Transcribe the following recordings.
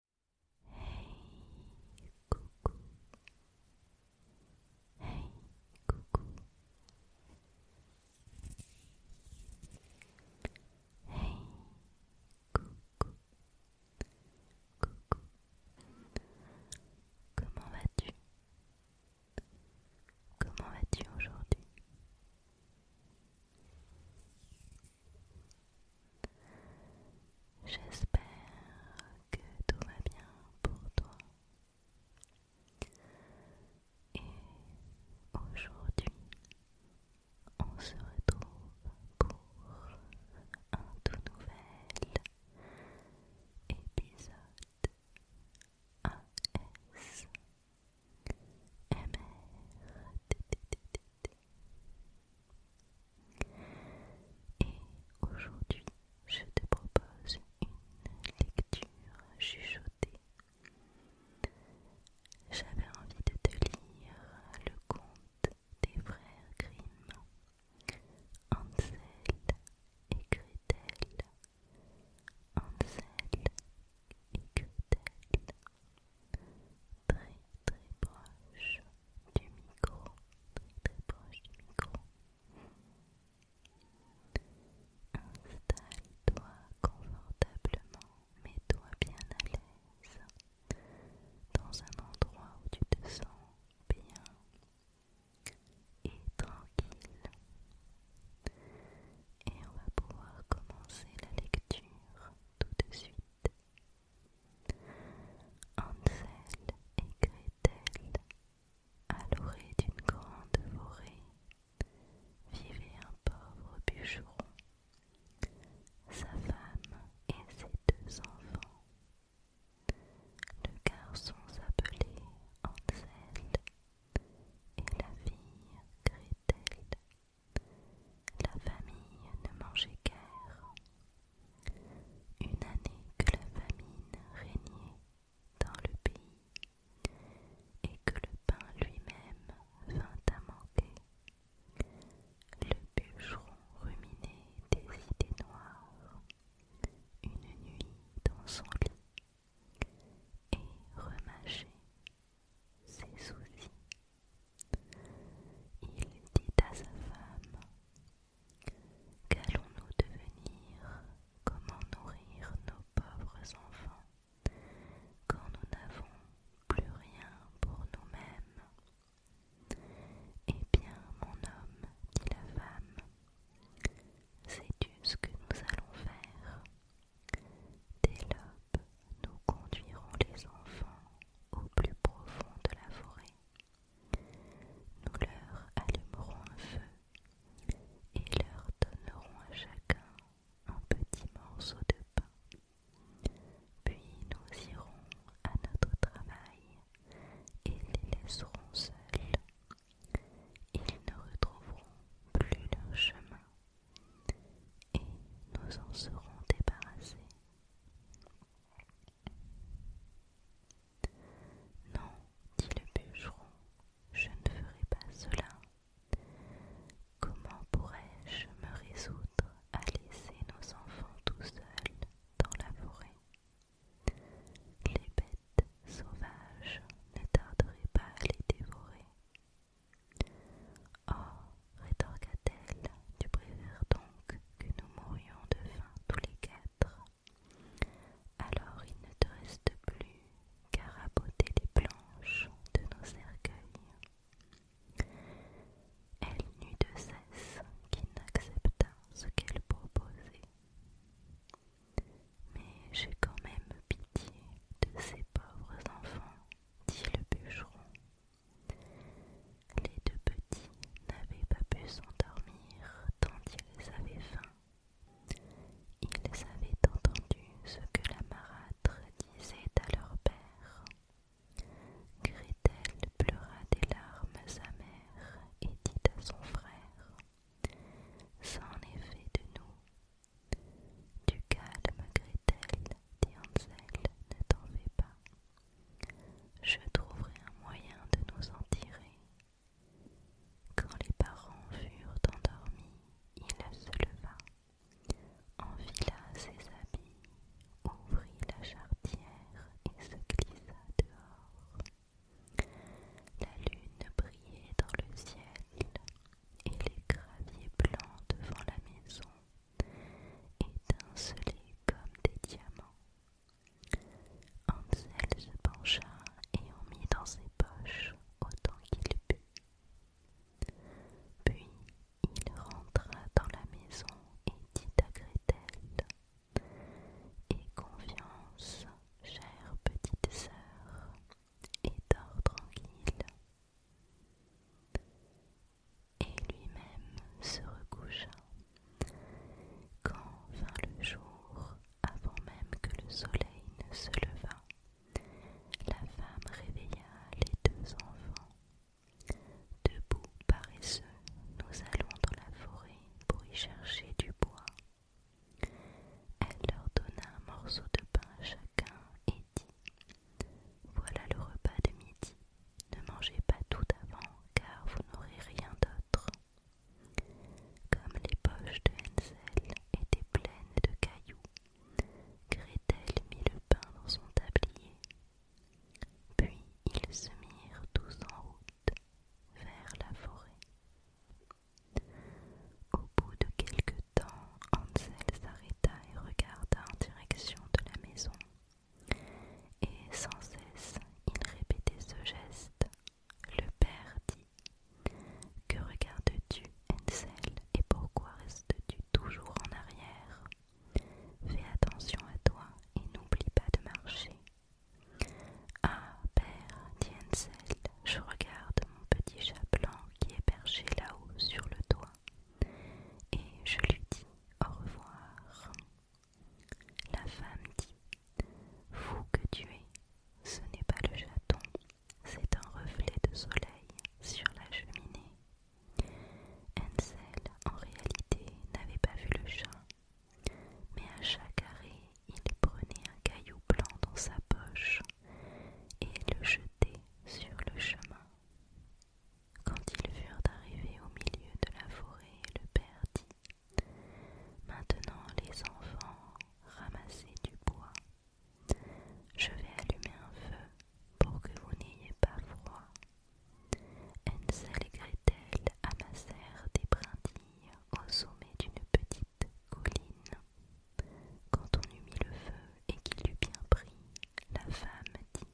Hey coucou. Hey coucou. coucou. Coucou. Comment vas-tu Comment vas-tu aujourd'hui J'espère que tout va bien pour toi. Et aujourd'hui, on se retrouve pour un tout nouvel épisode ASMR. Et aujourd'hui, je te propose une lecture chuchotée. J'avais envie de te lire le conte des frères Grimm, Hansel et Gretel, Hansel et Gretel très très proche du micro, très très proche du micro. Installe-toi confortablement, mets-toi bien à l'aise dans un endroit où tu te sens bien et tranquille. Et on va pouvoir commencer la lecture tout de suite. Hansel et Gretel, à l'orée d'une grande forêt, vivait un pauvre bûcheron, sa femme et ses deux enfants. Le garçon s'appelait Hansel et la fille Gretel. La famille ne mangeait guère, une année que la famine régnait dans le pays et que le pain lui-même vint à manquer. Le bûcheron ruminait des idées noires une nuit dans son lit et remâchait ses soucis. Il dit à sa femme Qu'allons-nous devenir Comment nourrir nos pauvres enfants quand nous n'avons plus rien pour nous-mêmes Eh bien, mon homme, dit la femme, sais-tu ce que nous allons faire Dès l'aube, nous conduirons les enfants au plus profond de la forêt nous leur allumerons un feu et leur donnerons à chacun un petit morceau de pain. Puis nous irons à notre travail et les laisserons seuls. Ils ne retrouveront plus leur chemin et nous en serons débarrassés. Non, dit le bûcheron, je ne ferai pas cela. Comment pourrais-je me résoudre à laisser nos enfants tout seuls dans la forêt Les bêtes sauvages ne tarderaient pas à les dévorer. Oh, rétorqua-t-elle, tu préfères donc que nous mourions de faim tous les quatre. Alors il ne te reste plus qu'à raboter les planches de nos cercueils. Elle n'eut de cesse qu'il n'accepta ce qu'elle proposait. Mais j'ai quand même pitié de ces pauvres enfants, dit le bûcheron les deux petits n'avaient pas pu s'endormir tant ils avaient faim. Ils avaient entendu ce que la marâtre disait à leur père. Gretel pleura des larmes amères et dit à son frère Sans effet de nous. Du calme, Gretel, dit Hansel, ne t'en fais pas. Je trouverai un moyen de nous en tirer. Quand les parents furent endormis, il se leva, enfila ses habits, ouvrit la charretière et se glissa dehors. La lune brillait dans le ciel et les graviers blancs devant la maison Étincelés comme des diamants. Hansel se pencha et en mit dans ses poches autant qu'il put. Puis il rentra dans la maison et dit à Gretel Aie confiance, chère petite sœur, et dors tranquille et lui-même se recoucha. Quand vint le jour, avant même que le soleil ne se levât, la femme réveilla les deux enfants. Debout paresseux, nous allons dans la forêt pour y chercher du bois. Elle leur donna un morceau de pain à chacun et dit Voilà le repas de midi. Ne mangez pas tout avant car vous n'aurez rien d'autre. Comme les poches de Hansel étaient pleines de cailloux, Gretel mit le pain dans son tablier. Puis ils se mirent tous en route vers la forêt. Au bout de quelque temps, Hansel s'arrêta et regarda en direction de la maison et sans cesse, il répétait ce geste. Le père dit Que regardes-tu, Ansel, et pourquoi restes-tu toujours en arrière Fais attention à toi et n'oublie pas de marcher. Ah, père, dit Ansel, je regarde mon petit chat blanc qui est perché là-haut sur le toit. Et je lui dis au revoir. La femme dit Fou que tu es, ce n'est pas le chaton, c'est un reflet de soleil sur la cheminée. Ansel, en réalité, n'avait pas vu le chat, mais à chaque arrêt, il prenait un caillou blanc dans sa poche et le jetait sur le chemin. Quand ils furent arrivés au milieu de la forêt, le père dit Maintenant, les enfants, ramassez du bois. Je vais allumer un feu pour que vous n'ayez pas froid. Hansel et Gretel amassèrent des brindilles au sommet d'une petite colline. Quand on eut mis le feu et qu'il eut bien pris, la femme dit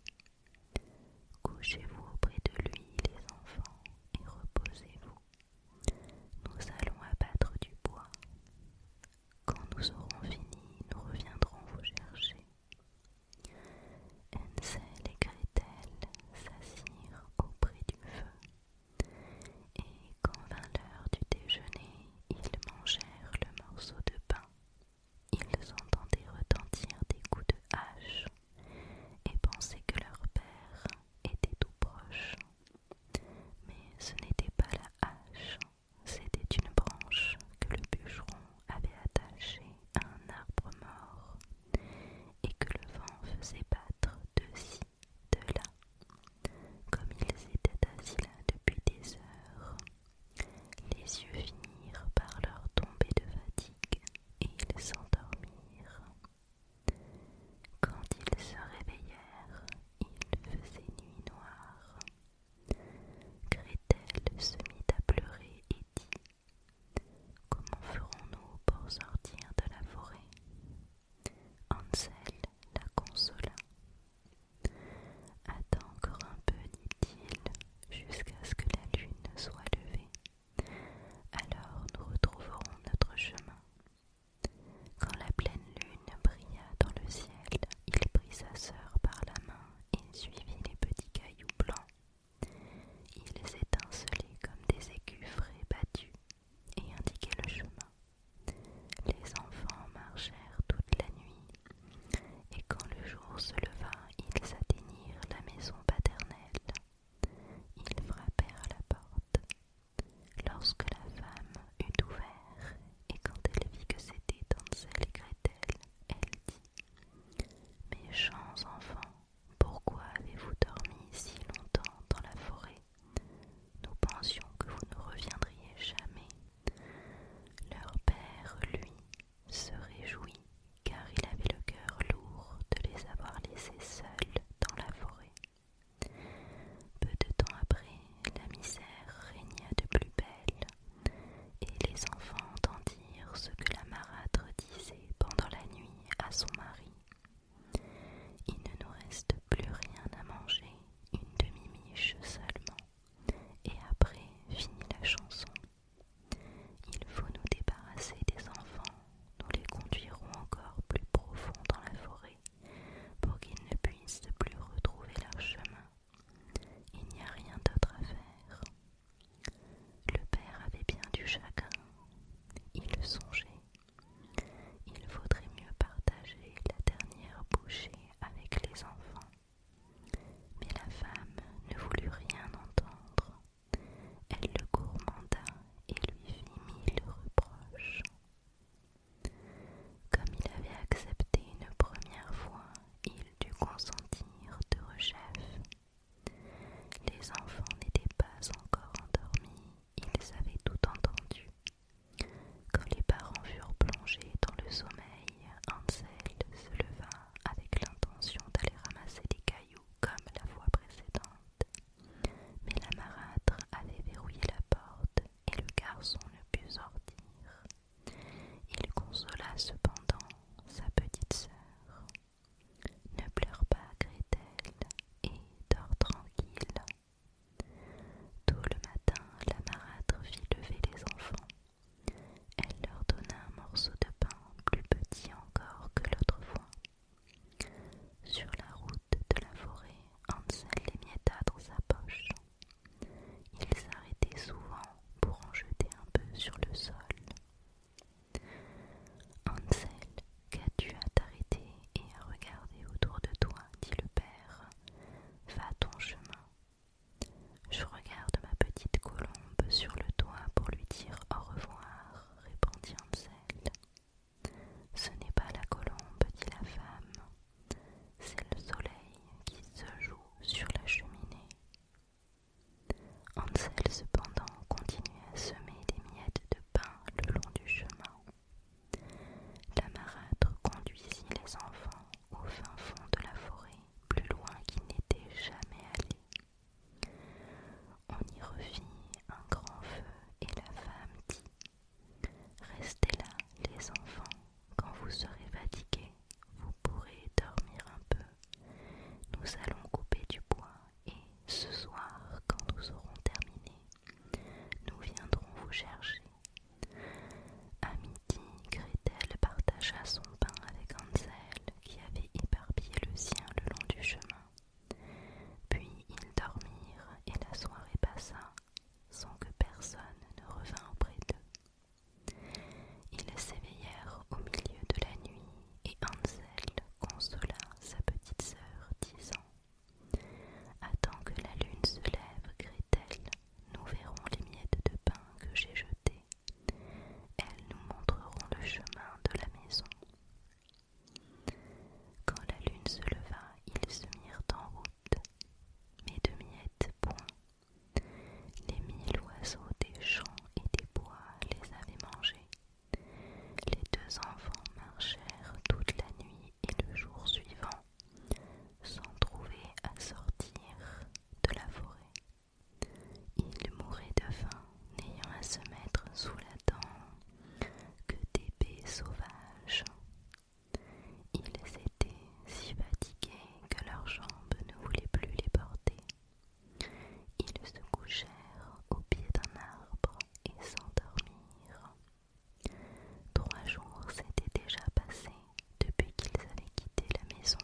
Couchez-vous auprès de lui, les enfants, et reposez-vous. Nous allons abattre du bois. Quand nous aurons fini, nous reviendrons vous chercher. Hansel et Gretel s'assirent auprès du feu, et quand vint l'heure du déjeuner, ils mangèrent le morceau de pain ils entendaient retentir des coups de hache et pensaient que leur père était tout proche. Mais ce n'était pas la hache, c'était une branche que le bûcheron avait attachée à un arbre mort et que le vent faisait battre de ci, de là. Comme ils étaient assis là depuis des heures, les yeux finirent par leur tomber de fatigue et ils s'endormirent. Quand ils se réveillèrent, il faisait nuit noire. Gretel se mit à pleurer et dit Comment ferons-nous pour sortir de la forêt Hansel la consola. Attends encore un peu, dit-il, jusqu'à ce que la lune soit levée. Alors nous retrouverons notre chemin. Quand la pleine lune brilla dans le ciel, il prit sa sœur par la main et suivit les petits cailloux blancs. Ils étincelaient comme des écus frais battus et indiquaient le chemin. Les enfants marchèrent toute la nuit, et quand le jour se leva, ils atteignirent la maison paternelle ils frappèrent à la porte. Lorsque la femme eut ouvert, et quand elle vit que c'était Ansel et Gretel, elle dit Méchants enfants, pourquoi avez-vous dormi si longtemps dans la forêt Nous pensions que vous ne reviendriez jamais. Leur père, lui, se réjouit car il avait le cœur lourd de les avoir laissés seuls dans la forêt. Peu de temps après, la misère régna de plus belle, et les enfants entendirent ce que la marâtre disait pendant la nuit à son mari. Il ne nous reste plus rien à manger, une demi-miche seulement, et après finit la chanson. Il faut nous débarrasser des enfants, nous les conduirons encore plus profond dans la forêt pour qu'ils ne puissent plus retrouver leur chemin. Il n'y a rien d'autre à faire. Le père avait bien du chagrin, il songeait. Il vaudrait mieux partager la dernière bouchée avec les enfants. Mais la femme ne voulut rien entendre. Elle le gourmanda et lui fit mille reproches. Comme il avait accepté une première fois, il dut consentir de rechef. Les enfants n'étaient pas encore endormis, ils avaient tout entendu. Quand les parents furent plongés dans le sommeil, Ansel se leva avec l'intention d'aller ramasser des comme la fois précédente. Mais la marâtre avait verrouillé la porte et le garçon ne put sortir. Il consola cependant sa petite sœur. Ne pleure pas, crée-t-elle et dors tranquille. Tout le matin, la marâtre fit lever les enfants elle leur donna un morceau de pain plus petit encore que l'autre fois. Sur la route de la forêt, Hansel mietta dans sa poche. Ils s'arrêtait souvent pour en jeter un peu sur le sol. Hansel, qu'as-tu à t'arrêter et à regarder autour de toi dit le père. Va ton chemin. Je regarde ma petite colombe sur le toit pour lui dire au revoir, répondit Ansel. Ce n'est pas la colombe, dit la femme, c'est le soleil qui se joue sur la cheminée. Ansel cependant continuait à semer des miettes de pain le long du chemin. La marâtre conduisit les enfants au fin fond de la forêt, plus loin qu'ils n'étaient jamais allés. On y revit un grand feu et la femme dit Restez là, les enfants, quand vous serez fatigués, vous pourrez dormir un peu. Nous allons couper du bois et ce soir, quand nous aurons terminé, nous viendrons vous chercher. À midi, Gretel partagea son pain avec Hansel qui avait éparpillé le sien le long du chemin. Puis ils dormirent et la soirée passa sans que personne ne revînt auprès d'eux. Ils s'éveillèrent au milieu de la nuit et Hansel consola sa petite sœur, disant Attends que la lune se lève, Gretel, nous verrons les miettes de pain que j'ai jetées elles nous montreront le chemin de la maison. Quand la lune se leva, ils se mirent en route, mais de miettes point. Les mille oiseaux des champs et des bois les avaient mangés. Les deux enfants marchèrent toute la nuit et le jour suivant, sans trouver à sortir de la forêt. Ils mouraient de faim, n'ayant à se mettre sous la dent que des baies sauvages. Ils étaient si fatigués que leurs jambes ne voulaient plus les porter. Ils se couchèrent au pied d'un arbre et s'endormirent. Trois jours s'étaient déjà passés depuis qu'ils avaient quitté la maison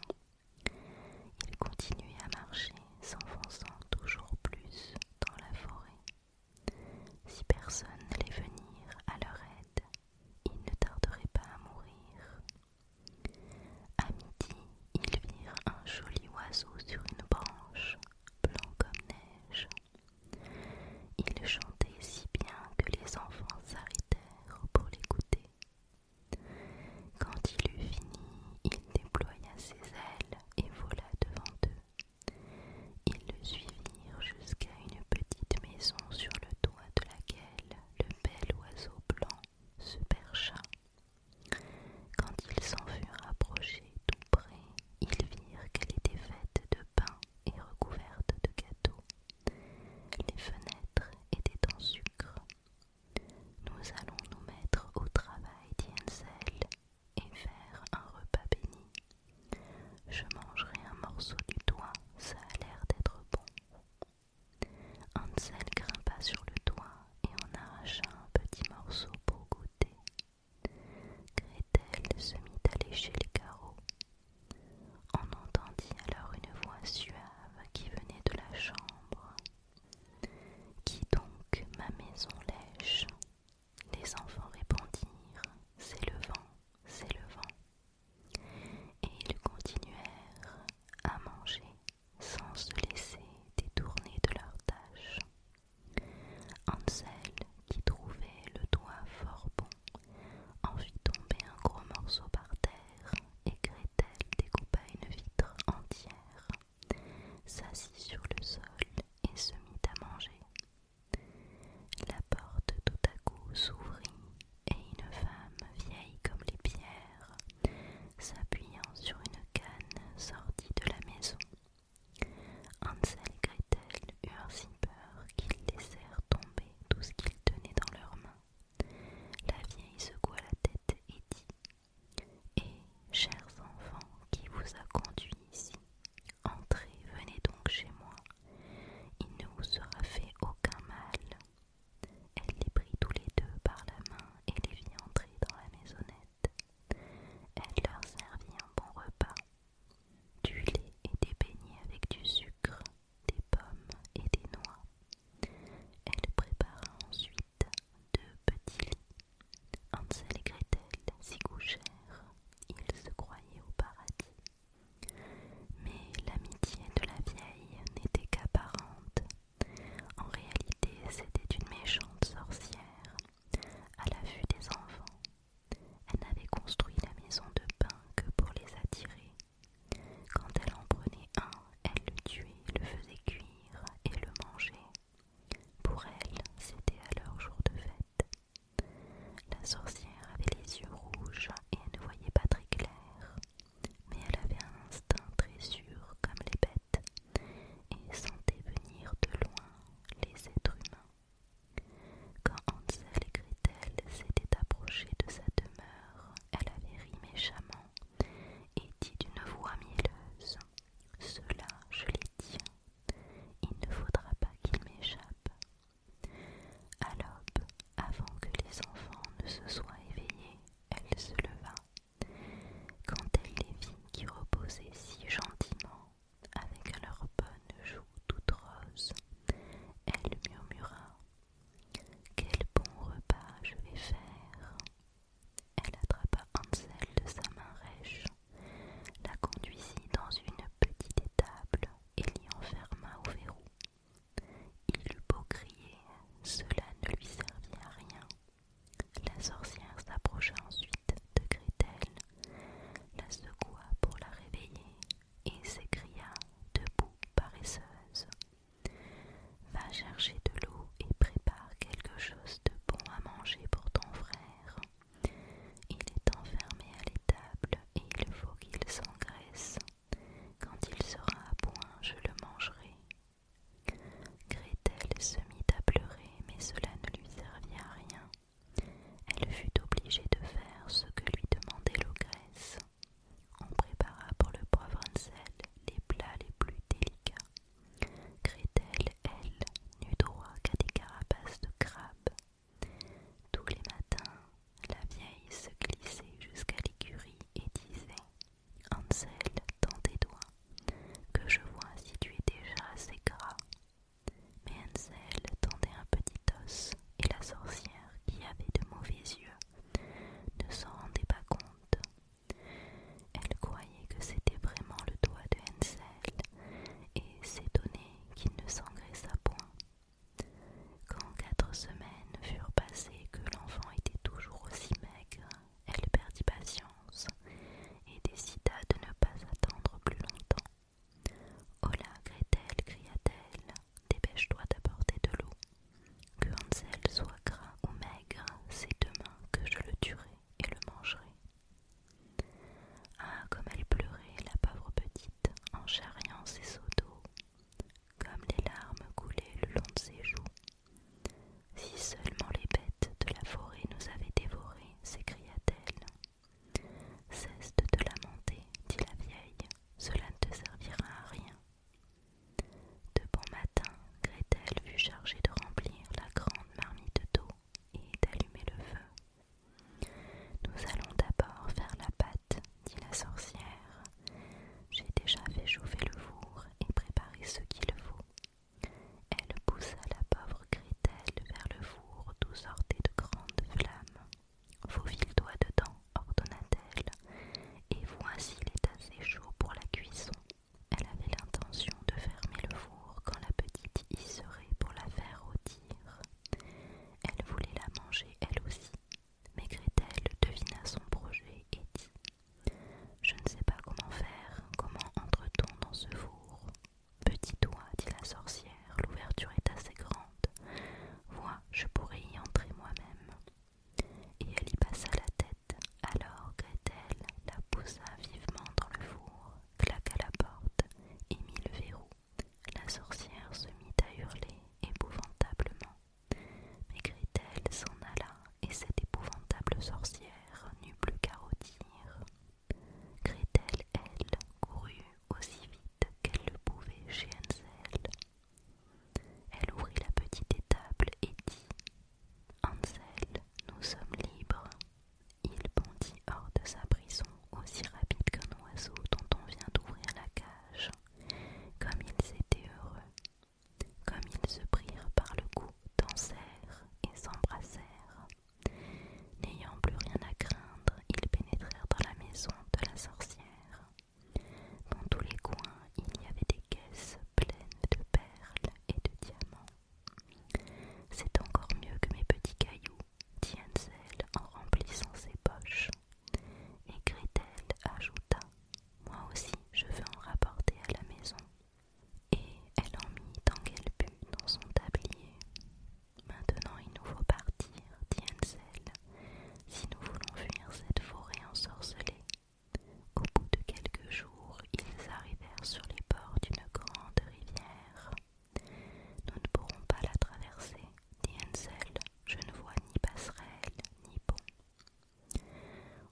ils continuaient à marcher, s'enfonçant toujours plus dans la forêt. Si personne n'allait venir à leur aide, ils ne tarderaient pas à mourir. À midi, ils virent un joli oiseau sur une branche, blanc comme neige. Il chantait si bien que les enfants s'arrêtèrent pour l'écouter. Quand il eut fini, il déploya ses ailes et vola devant eux. Ils le suivirent jusqu'à une petite maison sur le toit de laquelle le bel oiseau blanc se percha. Quand ils s'en furent approchés tout près, ils virent qu'elle était faite de pain et recouverte de gâteaux. Les fenêtres étaient en sucre. Nous allons nous mettre au travail, dit Ansel, et faire un repas béni. Je mangerai un morceau du toit, ça a l'air d'être bon. Ansel grimpa sur le toit et en arracha un petit morceau pour goûter. Gretel se mit à lécher les carreaux. On entendit alors une voix suave qui venait de la chambre. Qui donc ma maison lèche Les enfants répondirent C'est le vent, c'est le vent. Et ils continuèrent à manger sans se laisser détourner de leur tâche. Ansel, qui trouvait le doigt fort bon, en fit tomber un gros morceau par terre et Gretel découpa une vitre entière s'assit sur le sol et se mit à manger. La porte tout à coup s'ouvrit et une femme vieille comme les pierres, s'appuyant sur une canne, sortit de la maison. Hansel et Gretel eurent si peur qu'ils laissèrent tomber tout ce qu'ils tenaient dans leurs mains. La vieille secoua la tête et dit et, chers enfants qui vous a conduits ici, entrez, venez donc chez moi. Il ne vous sera fait aucun mal. Elle les prit tous les deux par la main et les fit entrer dans la maisonnette. Elle leur servit un bon repas, du lait et des beignets avec du sucre, des pommes et des noix. Elle prépara ensuite deux petits lits. Hansel et Gretel s'y couchèrent, ils se croyaient au paradis. Mais l'amitié de la vieille n'était qu'apparente. En réalité, c'était une méchante sorcière, à la vue des enfants. Elle n'avait construit la maison de pain que pour les attirer. Quand elle en prenait un, elle le tuait, le faisait cuire et le mangeait. Pour elle, c'était alors jour de fête. La sorcière avait les yeux rouges et ne voyait pas très clair, mais elle avait un instinct très sûr comme les bêtes et sentait venir de loin les êtres humains. Quand Hansel et Gretel s'étaient approchés de sa demeure, elle avait ri méchamment et dit d'une voix mielleuse ceux je les tiens. Il ne faudra pas qu'ils m'échappent. À l'aube, avant que les enfants ne se soient éveillés, elle se leva. Quand elle les vit qui reposaient si gentiment, avec leurs bonnes joues toutes roses, elle murmura Quel bon repas je vais faire elle attrapa Hansel de sa main rêche, la conduisit dans une petite étable et l'y enferma au verrou. Il eut beau crier, cela ne lui servit à rien. La sorcière s'approcha ensuite de Gretel, la secoua pour la réveiller et s'écria debout paresseuse. Va chercher de l'eau et prépare quelque chose de bon à manger pour ton frère. Il est enfermé à l'étable et il faut qu'il s'engraisse. Quand il sera à point, je le mangerai. Gretel se mit à pleurer, mais cela ne lui servit à rien. Elle fut obligée de faire ce que lui demandait l'ogresse. On prépara pour le pauvre Ansel les plats les plus délicats elle, n'eut droit qu'à des carapaces de crabe Tous les matins, la vieille se glissait jusqu'à l'écurie et disait Ansel, tend tes doigts, que je vois si tu es déjà assez gras. Mais Ansel tendait un petit os, et la sorcière, qui avait de mauvais yeux, ne s'en rendait pas compte. Elle croyait que c'était vraiment le doigt de Hansel et s'étonnait qu'il ne s'engraissa point. Quand quatre semaines furent passées que l'enfant était toujours aussi maigre, elle perdit patience et décida de ne pas attendre plus longtemps. Hola, Gretel, cria-t-elle, dépêche-toi d'apporter de l'eau. Que Hansel soit gras ou maigre, c'est demain que je le tuerai et le mangerait. Ah, comme elle pleurait, la pauvre petite, en charriant ses seaux d'eau, comme les larmes coulaient le long de ses joues. Si seulement les bêtes de la forêt nous avaient dévorés, s'écria-t-elle. Cesse de te lamenter, dit la vieille, cela ne te servira à rien. De bon matin, Gretel fut chargée de remplir la grande marmite d'eau et d'allumer le feu. Nous allons d'abord faire la pâte, dit la sorcière. J'ai déjà fait chauffer le four et préparé ce qu'il faut. Elle poussa la pauvre Gretel vers le four d'où sortaient de grandes flammes. Faufile-toi dedans, ordonna-t-elle, et voici il est assez chaud pour la cuisson. Elle avait l'intention de fermer le four quand la petite y serait pour la faire rôtir. Elle voulait la manger elle aussi, mais Gretel devina son projet et dit Je ne sais pas comment faire, comment entre-t-on dans ce four Petit doigt, dit la sorcière, l'ouverture est assez grande. Vois, je pourrais y entrer moi-même. Et elle y passa la tête alors Gretel la poussa vivement dans le four, claqua la porte et mit le verrou. La sorcière se mit à hurler épouvantablement. Mais Gretel s'en alla et cette épouvantable sorcière n'eut plus qu'à rôtir. Gretel, elle, courut aussi vite qu'elle le pouvait chez Hansel. Elle ouvrit la petite étable et dit Ansel, nous sommes libres. Il bondit hors de sa prison aussi rapide qu'un oiseau dont on vient d'ouvrir la cage. Comme ils étaient heureux, comme ils se prirent par le cou, dansèrent et s'embrassèrent. N'ayant plus rien à craindre, ils pénétrèrent dans la maison de la sorcière. Dans tous les coins, il y avait des caisses pleines de perles et de diamants. C'est encore mieux que mes petits cailloux, dit en remplissant ses poches. Et Gretel ajouta Moi aussi, je veux en rapporter à la maison. Et elle en mit tant qu'elle put dans son tablier. Maintenant, il nous faut partir, dit si nous voulons fuir cette forêt ensorcelée. Au bout de quelques jours, ils arrivèrent sur les bords d'une grande rivière. Nous ne pourrons pas la traverser, dit Hansel. Je ne vois ni passerelle, ni pont.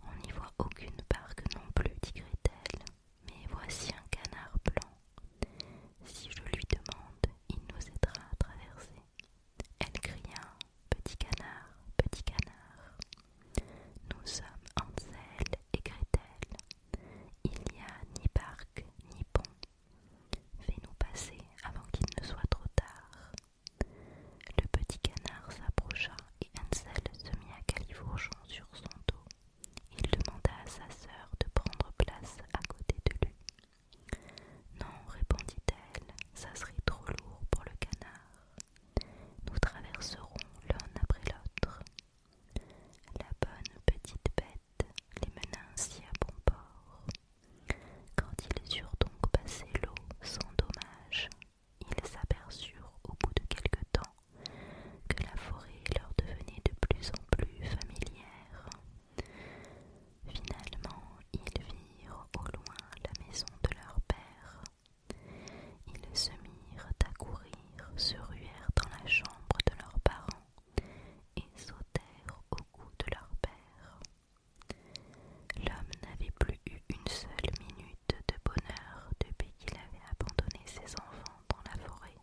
On n'y voit aucune barque non plus, dit Gretel. Mais voici un canard blanc. Si je lui demande, il nous aidera à traverser. Elle cria Petit canard, petit canard. Nous sommes Hansel et Gretel. Il n'y a ni parc ni pont. Fais-nous passer avant qu'il ne soit trop tard. Le petit canard s'approcha et Hansel se mit à califourchon sur son dos. Il demanda à sa sœur de prendre place à côté de lui. Non, répondit-elle, ça serait trop lourd pour le canard. Nous traverserons l'un après l'autre. La bonne petite bête les mena ainsi à bon port. Quand ils eurent donc passé l'eau sans dommage, ils s'aperçurent au bout de quelque temps que la forêt leur devenait de plus en plus familière. Finalement, ils virent au loin la maison de leur père, ils se mirent à courir, se ruèrent dans la chambre de leurs parents et sautèrent au cou de leur père. L'homme n'avait plus eu une seule minute de bonheur depuis qu'il avait abandonné ses enfants dans la forêt.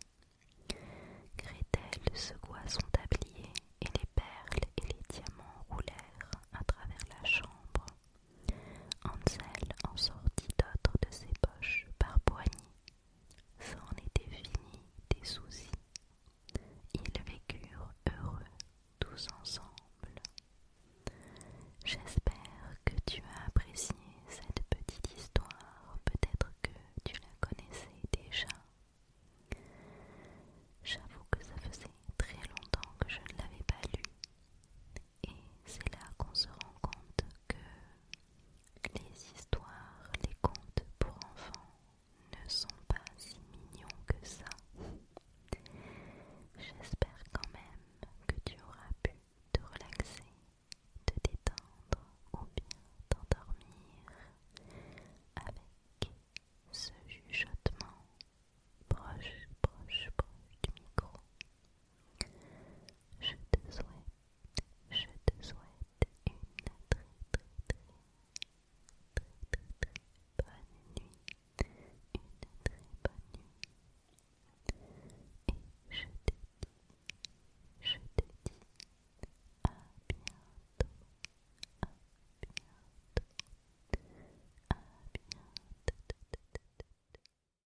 Gretel secoua son tablier et les perles et les diamants roulèrent à travers la chambre. Ansel en sortit d'autres de ses poches par Ça en était fini des soucis. Ils vécurent heureux tous ensemble. J'espère que tu as apprécié cette petite histoire, peut-être que tu la connaissais déjà. J'avoue que ça faisait très longtemps que je ne l'avais pas lue. Et c'est là qu'on se rend compte que les histoires, les contes pour enfants ne sont pas si mignons que ça. J'espère quand même que tu auras pu te relaxer, te détendre ou bien t'endormir avec ce chuchotement proche, proche, proche du micro. Je te souhaite, je te souhaite une très très très très très bonne nuit, une très bonne nuit. Et je te dis, je te dis à bientôt, à bientôt, à bientôt.